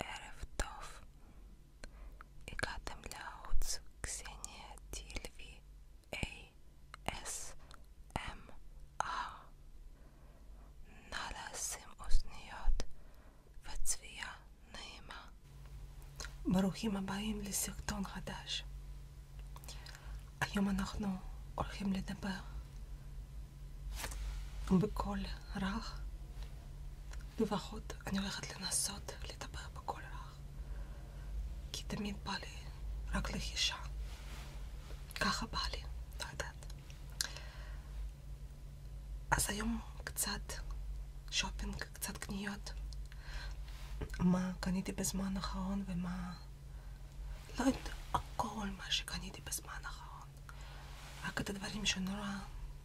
ערב טוב, הגעתם לערוץ קסניה טילבי ASMR נא לשים אוזניות וצביעה נעימה ברוכים הבאים לסרטון חדש היום אנחנו הולכים לדבר בכל רעך? לפחות אני הולכת לנסות לטפח בכל רעך. כי תמיד בא לי רק לחישה. ככה בא לי, לא יודעת. אז היום קצת שופינג, קצת קניות. מה קניתי בזמן האחרון ומה... לא יודעת, הכל מה שקניתי בזמן האחרון. רק את הדברים שנורא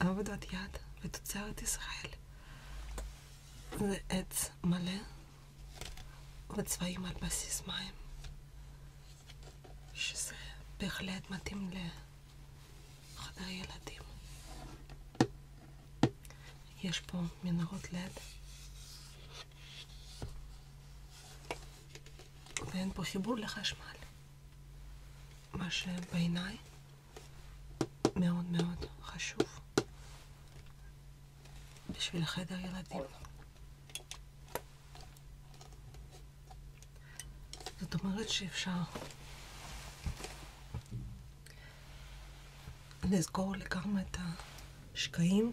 עבודת יד ותוצרת ישראל. זה עץ מלא וצבעים על בסיס מים, שזה בהחלט מתאים לחדר ילדים. יש פה מנהרות לד. ואין פה חיבור לחשמל. מה שבעיניי מאוד מאוד חשוב בשביל חדר ילדים. זאת אומרת שאפשר לסגור לגמרי את השקעים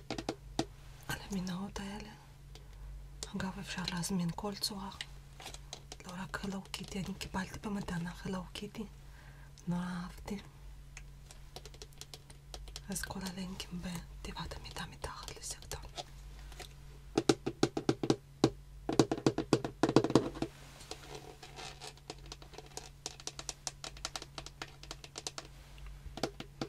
על המנהרות האלה. אגב, אפשר להזמין כל צורה, לא רק הלו קיטי, אני קיבלתי במתנה הלו קיטי, נורא לא אהבתי. אז כל הלינקים בתיבת המידע מתחת לסרטון.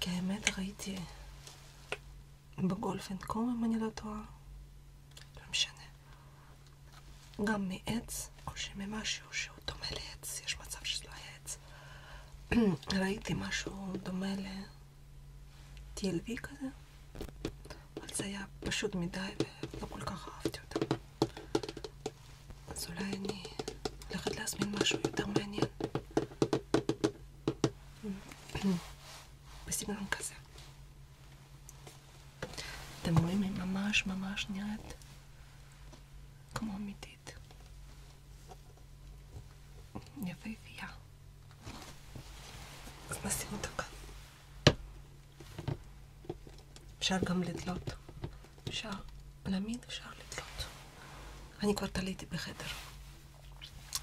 כי האמת ראיתי בגולפנקום, אם אני לא טועה, לא משנה, גם מעץ או שממשהו שהוא דומה לעץ, יש מצב שזה לא היה עץ, ראיתי משהו דומה ל-TLV כזה, אבל זה היה פשוט מדי ולא כל כך אהבתי אותו. אז אולי אני הולכת להזמין משהו יותר מעניין. בסגנון כזה. אתם רואים, היא ממש ממש נראית כמו אמיתית. יפהפייה. אז נשים אותה כאן. אפשר גם לדלות. אפשר להאמין, אפשר לתלות. אני כבר תליתי בחדר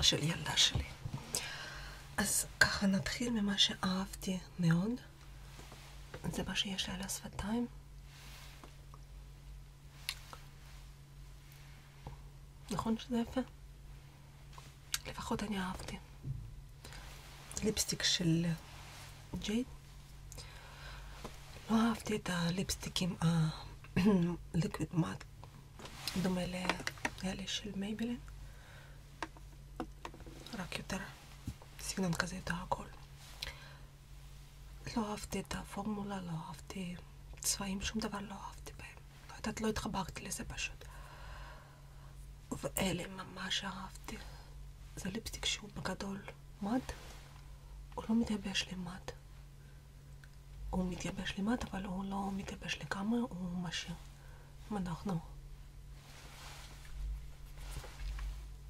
של ילדה שלי. אז ככה נתחיל ממה שאהבתי מאוד. זה מה שיש לי על השפתיים. נכון שזה יפה? לפחות אני אהבתי. ליפסטיק של ג'ייד לא אהבתי את הליפסטיקים הליקוויד מאט, דומה לאלה של מייבלין, רק יותר סגנון כזה יותר הכל. לא אהבתי את הפורמולה, לא אהבתי צבעים, שום דבר לא אהבתי בהם. לא יודעת, לא התחברתי לזה פשוט. ואלה ממש אהבתי. זה ליפסטיק שהוא בגדול מד, הוא לא מתייבש לי מד. הוא מתייבש למט, אבל הוא לא מתייבש לגמרי, הוא משאיר. אנחנו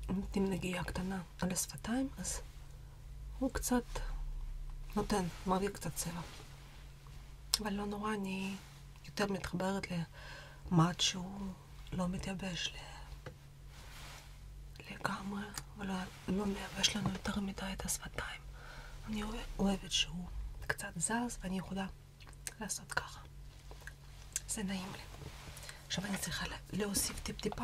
נותנים נגיעה קטנה על השפתיים, אז הוא קצת נותן, מראה קצת צבע. אבל לא נורא, אני יותר מתחברת למט שהוא לא מתייבש, לגמרי, ולא מייבש לנו יותר מדי את השפתיים. אני אוהבת שהוא קצת זז, ואני יכולה לעשות ככה. זה נעים לי. עכשיו אני צריכה להוסיף טיפ-טיפה.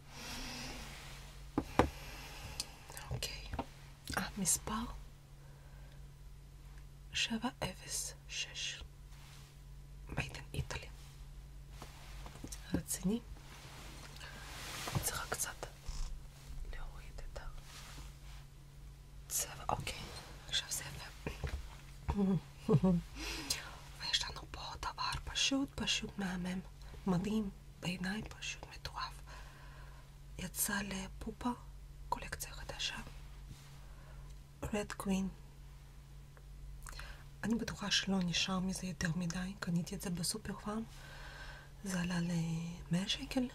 אוקיי, המספר אה, 706, מיידן איטלי. רציני? אני צריכה קצת להוריד אוקיי, ויש לנו פה דבר פשוט פשוט מהמם, מדהים, בעיניי פשוט מטורף. יצא לפופה קולקציה חדשה Red Queen אני בטוחה שלא נשאר מזה יותר מדי, קניתי את זה בסופר פארם זה עלה ל-100 שקל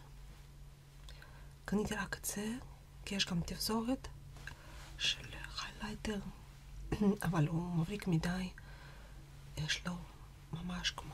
קניתי רק את זה, כי יש גם תפזורת של חלייטר אבל הוא מבריק מדי, יש לו ממש כמו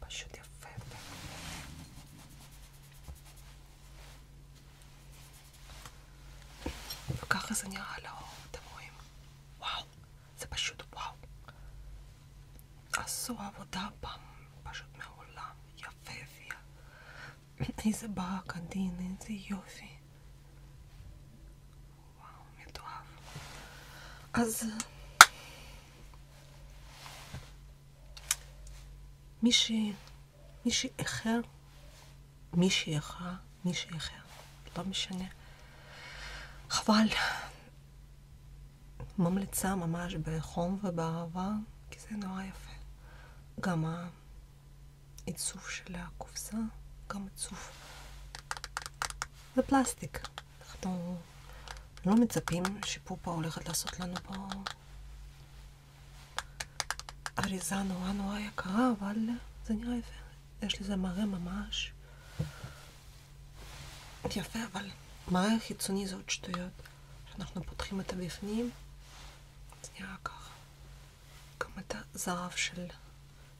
פשוט יפה וככה זה נראה לאור, אתם רואים? וואו, זה פשוט וואו עשו עבודה פעם, פשוט מעולם, יפה הביאה איזה ברק עדין, איזה יופי וואו, מתועב. אז... אה, מי ש... מי שאיחר, מי שאיחר, לא משנה. חבל. ממליצה ממש בחום ובאהבה, כי זה נורא יפה. גם העיצוב של הקופסה, גם עיצוב. זה פלסטיק. אנחנו לא מצפים שפופה הולכת לעשות לנו פה אריזה נורא נורא יקרה, אבל זה נראה יפה. יש לזה מראה ממש יפה, אבל מראה חיצוני זה עוד שטויות. כשאנחנו פותחים את הבפנים, זה נראה ככה. גם את הזהב של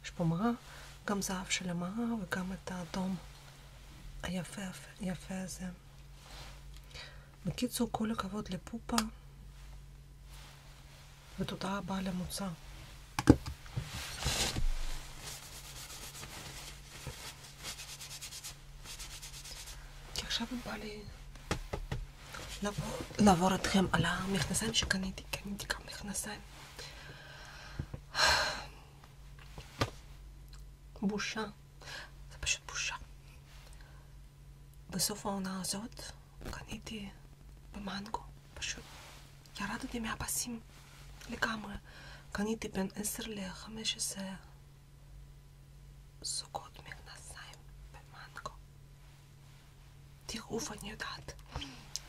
יש פה מראה, גם זהב של המראה וגם את האדום היפה יפה הזה. בקיצור, כל הכבוד לפופה, ותודה רבה למוצא. כי עכשיו בא לי לעבור, לעבור אתכם על המכנסיים שקניתי, קניתי גם מכנסיים. בושה. זה פשוט בושה. בסוף העונה הזאת קניתי במנגו, פשוט ירדתי מהפסים לגמרי. קניתי בין 10 ל-15 זוגות מכנסיים במנגו. תיעוף אני יודעת.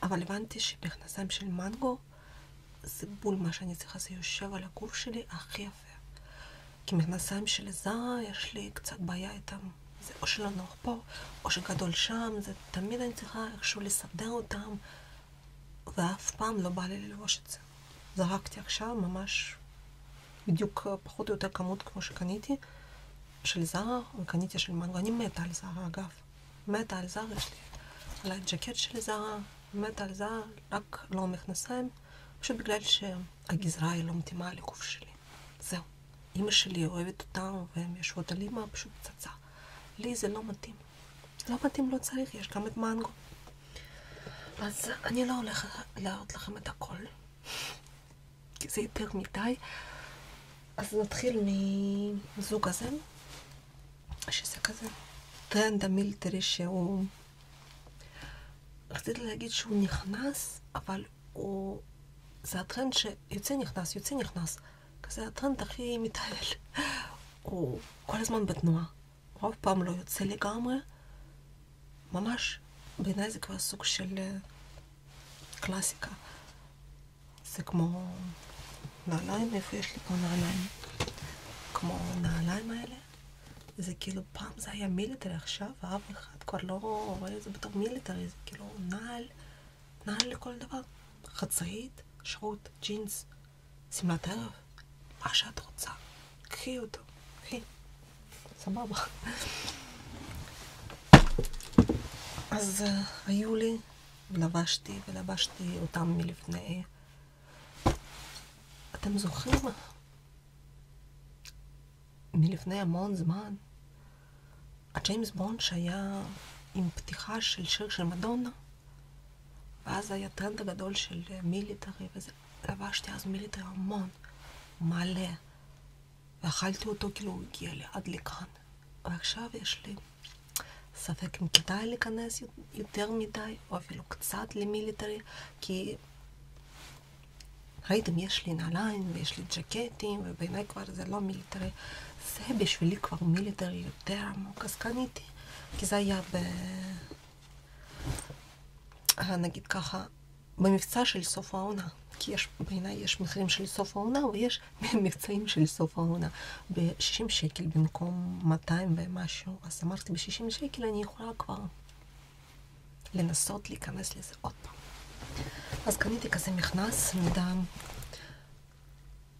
אבל הבנתי שמכנסיים של מנגו זה בול מה שאני צריכה, זה יושב על הגוף שלי הכי יפה. כי מכנסיים שלי זה, יש לי קצת בעיה איתם. זה או שלנוח פה, או שגדול שם, זה תמיד אני צריכה איכשהו לסדר אותם, ואף פעם לא בא לי ללבוש את זה. זרקתי עכשיו ממש בדיוק פחות או יותר כמות כמו שקניתי, של זרה, וקניתי של מנגו. אני מתה על זרה, אגב. מתה על זרה שלי, על הג'קט של זרה, מתה על זרה, רק לא מכנסיים, פשוט בגלל שהגזרה היא לא מתאימה לגוף שלי. זהו. אימא שלי אוהבת אותם, והן יושבות על אימא, פשוט פצצה. לי זה לא מתאים. לא מתאים, לא צריך, יש גם את מנגו. אז אני לא הולכת להראות לכם את הכל, כי זה יותר מדי. אז נתחיל מזוג הזה, שזה כזה טרנד המילטרי שהוא... רציתי להגיד שהוא נכנס, אבל הוא... זה הטרנד שיוצא נכנס, יוצא נכנס. כזה הטרנד הכי מתעלל. הוא כל הזמן בתנועה. הוא אף פעם לא יוצא לגמרי. ממש, בעיניי זה כבר סוג של אה, קלאסיקה. זה כמו נעליים, איפה יש לי פה נעליים? כמו הנעליים האלה? זה כאילו, פעם זה היה מיליטרי, עכשיו אף אחד כבר לא רואה את זה בתור מיליטרי, זה כאילו נעל, נעל לכל דבר. חצאית, שרוט, ג'ינס, שמלת ערב, מה שאת רוצה. קחי אותו, קחי. סבבה. אז אה, היו לי, לבשתי ולבשתי אותם מלפני אתם זוכרים? מלפני המון זמן, הג'יימס בונד שהיה עם פתיחה של שיר של מדונה, ואז היה טרנד הגדול של אה, מיליטרי, וזה, לבשתי אז מיליטרי המון, מלא, ואכלתי אותו כאילו הוא הגיע לי עד לכאן. ועכשיו יש לי ספק אם כדאי להיכנס יותר מדי, או אפילו קצת למיליטרי, כי ראיתם, יש לי נעליים ויש לי ג'קטים, ובעיניי כבר זה לא מיליטרי. זה בשבילי כבר מיליטרי יותר עמוק, אז קניתי, כי זה היה ב... נגיד ככה, במבצע של סוף העונה. כי יש, בעיניי יש מחירים של סוף העונה, ויש מבצעים של סוף העונה. ב-60 שקל במקום 200 ומשהו, אז אמרתי ב-60 שקל אני יכולה כבר לנסות להיכנס לזה עוד פעם. אז קניתי כזה מכנס מדם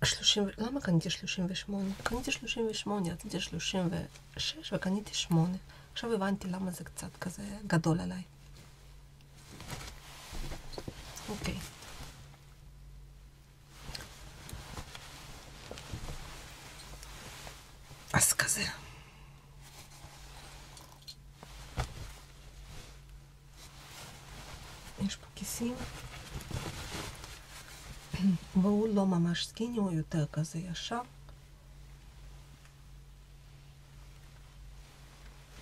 30, למה קניתי 38? קניתי 38, רציתי 36 וקניתי 8. עכשיו הבנתי למה זה קצת כזה גדול עליי. אוקיי. אז כזה. יש פה כיסים. והוא לא ממש סקיני, הוא יותר כזה ישר.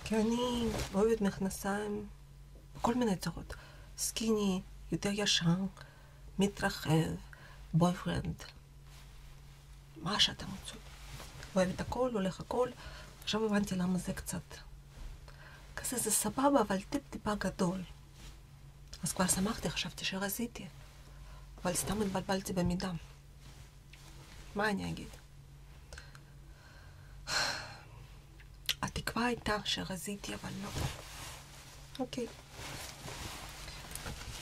כי אני אוהבת מכנסיים בכל מיני צורות. סקיני, יותר ישר, מתרחב, בויפרנד, מה שאתם רוצים. אוהב את הכל, הולך הכל. עכשיו הבנתי למה זה קצת. כזה זה סבבה, אבל טיפ-טיפה גדול. אז כבר שמחתי, חשבתי שרזיתי. אבל סתם התבלבלתי במידה. מה אני אגיד? התקווה הייתה שרזיתי, אבל לא. אוקיי.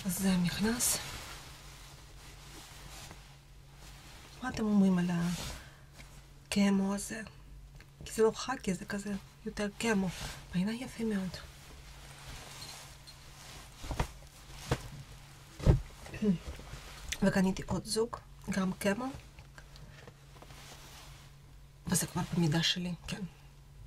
אז זה נכנס. מה אתם אומרים על הקמו הזה? כי זה לא חכי, זה כזה יותר קמו. בעיניי יפה מאוד. וקניתי עוד זוג, גם קמו. וזה כבר במידה שלי, כן.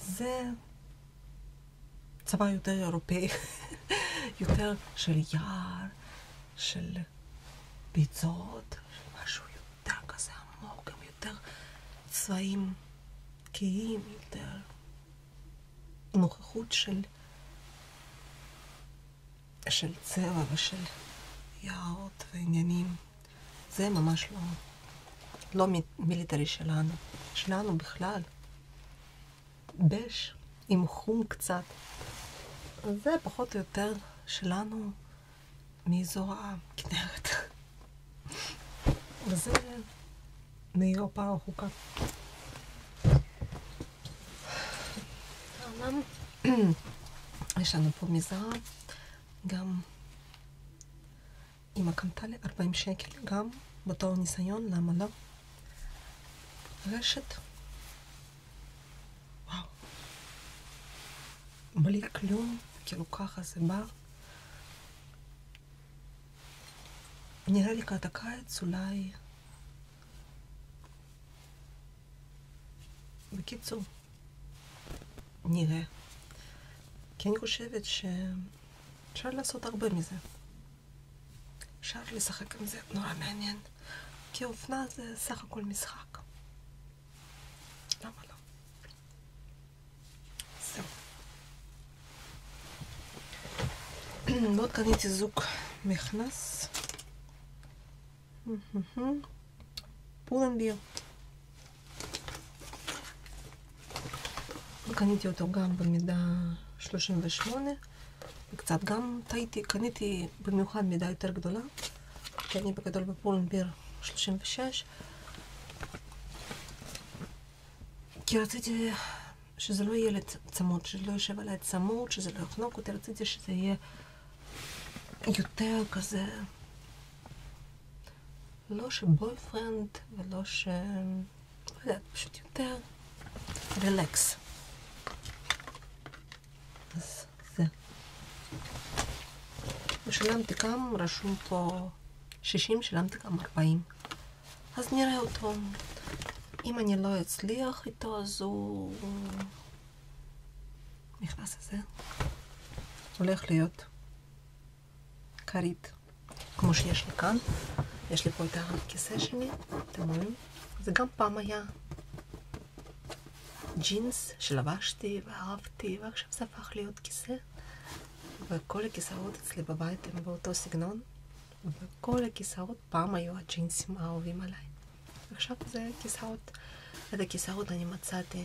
זה צבא יותר אירופאי, יותר של יער, של ביצות, משהו יותר כזה עמוק, גם יותר צבעים קהים, יותר נוכחות של, של צבע ושל יערות ועניינים. זה ממש לא, לא מיליטרי שלנו, שלנו בכלל. בש עם חום קצת. זה פחות או יותר שלנו מאזור הכנרת. וזה מאירופה רחוקה. יש לנו פה מזרע, גם אמא קנתה לי 40 שקל, גם בתור ניסיון, למה לא? רשת. וואו. בלי כלום, כאילו ככה זה בא. נראה לי לקראת הקיץ, אולי... בקיצור, נראה. כי אני חושבת שאפשר לעשות הרבה מזה. אפשר לשחק עם זה, נורא מעניין. כי אופנה זה סך הכל משחק. למה לא? זהו. מאוד קניתי זוג מכנס. פולנביר. קניתי אותו גם במידה 38, וקצת גם טעיתי, קניתי במיוחד מידה יותר גדולה, כי אני בגדול בפולנביר 36, כי רציתי שזה לא יהיה לצמוד, שזה לא יושב עליי צמוד, שזה לא יחנוק אותי, רציתי שזה יהיה יותר כזה לא שבויפרנד ולא ש... לא יודעת, פשוט יותר רילקס. אז זה. ושילמתי גם, רשום פה 60, שילמתי גם 40. אז נראה אותו. אם אני לא אצליח איתו, אז הוא... נכנס לזה. הולך להיות כרית, כמו שיש לי כאן. יש לי פה את הכיסא שלי, אתם רואים? זה גם פעם היה ג'ינס שלבשתי ואהבתי, ועכשיו זה הפך להיות כיסא. וכל הכיסאות אצלי בבית הם באותו סגנון, וכל הכיסאות פעם היו הג'ינסים האהובים עליי. עכשיו זה כיסאות, את הכיסאות אני מצאתי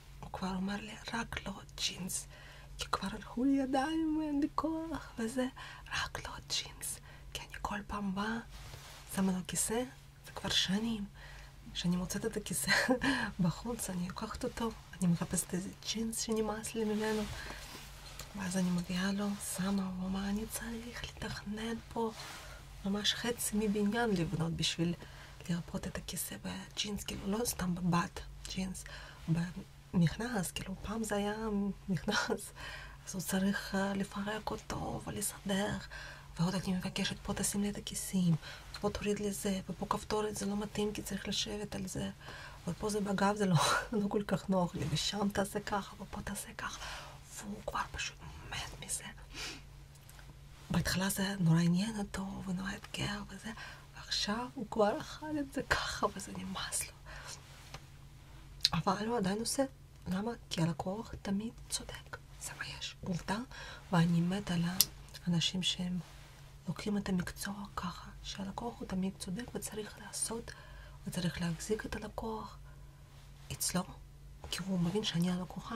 הוא כבר אומר לי, רק לא ג'ינס, כי כבר הלכו לי ידיים, אין לי כוח וזה, רק לא ג'ינס, כי אני כל פעם באה, שמה לו כיסא, זה כבר שנים, שאני מוצאת את הכיסא בחוץ, אני לוקחת אותו, אני מחפשת איזה ג'ינס שנמאס לי ממנו, ואז אני מביאה לו, שמה, הוא אומר, אני צריך לתכנן פה ממש חצי מבניין לבנות בשביל... לרפות את הכיסא בג'ינס, כאילו לא סתם בבת ג'ינס, במכנס, כאילו פעם זה היה מכנס, אז הוא צריך אה, לפרק אותו ולסדר, ועוד אני מבקשת פה תשים לי את הכיסים, ופה תוריד לי זה, ופה כפתורת זה לא מתאים כי צריך לשבת על זה, ופה זה בגב זה לא, לא כל כך נוח לי, ושם תעשה ככה, ופה תעשה ככה, והוא כבר פשוט מת מזה. בהתחלה זה היה נורא עניין אותו, ונורא אתגר וזה, ועכשיו הוא כבר אכל את זה ככה, וזה נמאס לו. אבל הוא עדיין עושה. למה? כי הלקוח תמיד צודק. זה מה יש. עובדה, ואני מתה על האנשים שהם לוקחים את המקצוע ככה, שהלקוח הוא תמיד צודק וצריך לעשות, וצריך להחזיק את הלקוח אצלו, כי הוא מבין שאני הלקוחה,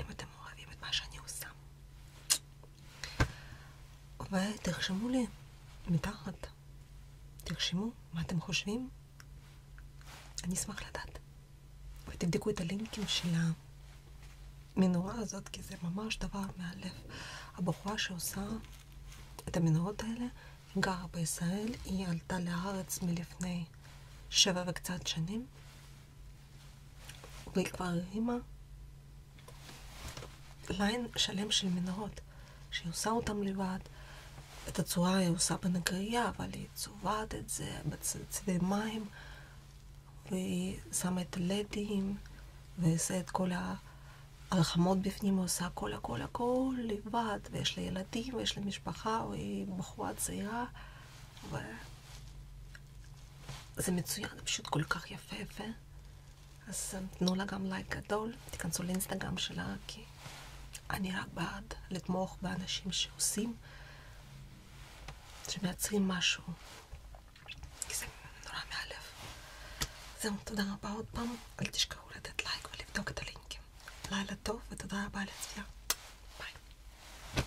אם אתם אוהבים את מה שאני עושה. ותרשמו לי מתחת, תרשמו מה אתם חושבים. אני אשמח לדעת. ותבדקו את הלינקים של המנורה הזאת, כי זה ממש דבר מהלב. הבחורה שעושה את המנורות האלה גרה בישראל, היא עלתה לארץ מלפני שבע וקצת שנים, והיא כבר הרימה ליין שלם של מנהרות, שהיא עושה אותם לבד. את הצורה היא עושה בנגרייה, אבל היא צובעת את זה בצדי מים, והיא שמה את הלדים, ועושה את כל ההלחמות בפנים, עושה הכל הכל הכל לבד, ויש לה ילדים, ויש לה משפחה, והיא בחורה צעירה, זה מצוין, זה פשוט כל כך יפה יפה. אז אה, תנו לה גם לייק גדול, תיכנסו לאינסטגרם שלה, כי אני רק בעד לתמוך באנשים שעושים, שמייצרים משהו. כי זה נורא מאלף. זהו, תודה רבה עוד פעם. אל תשכחו לתת לייק ולבדוק את הלינקים. לילה טוב ותודה רבה על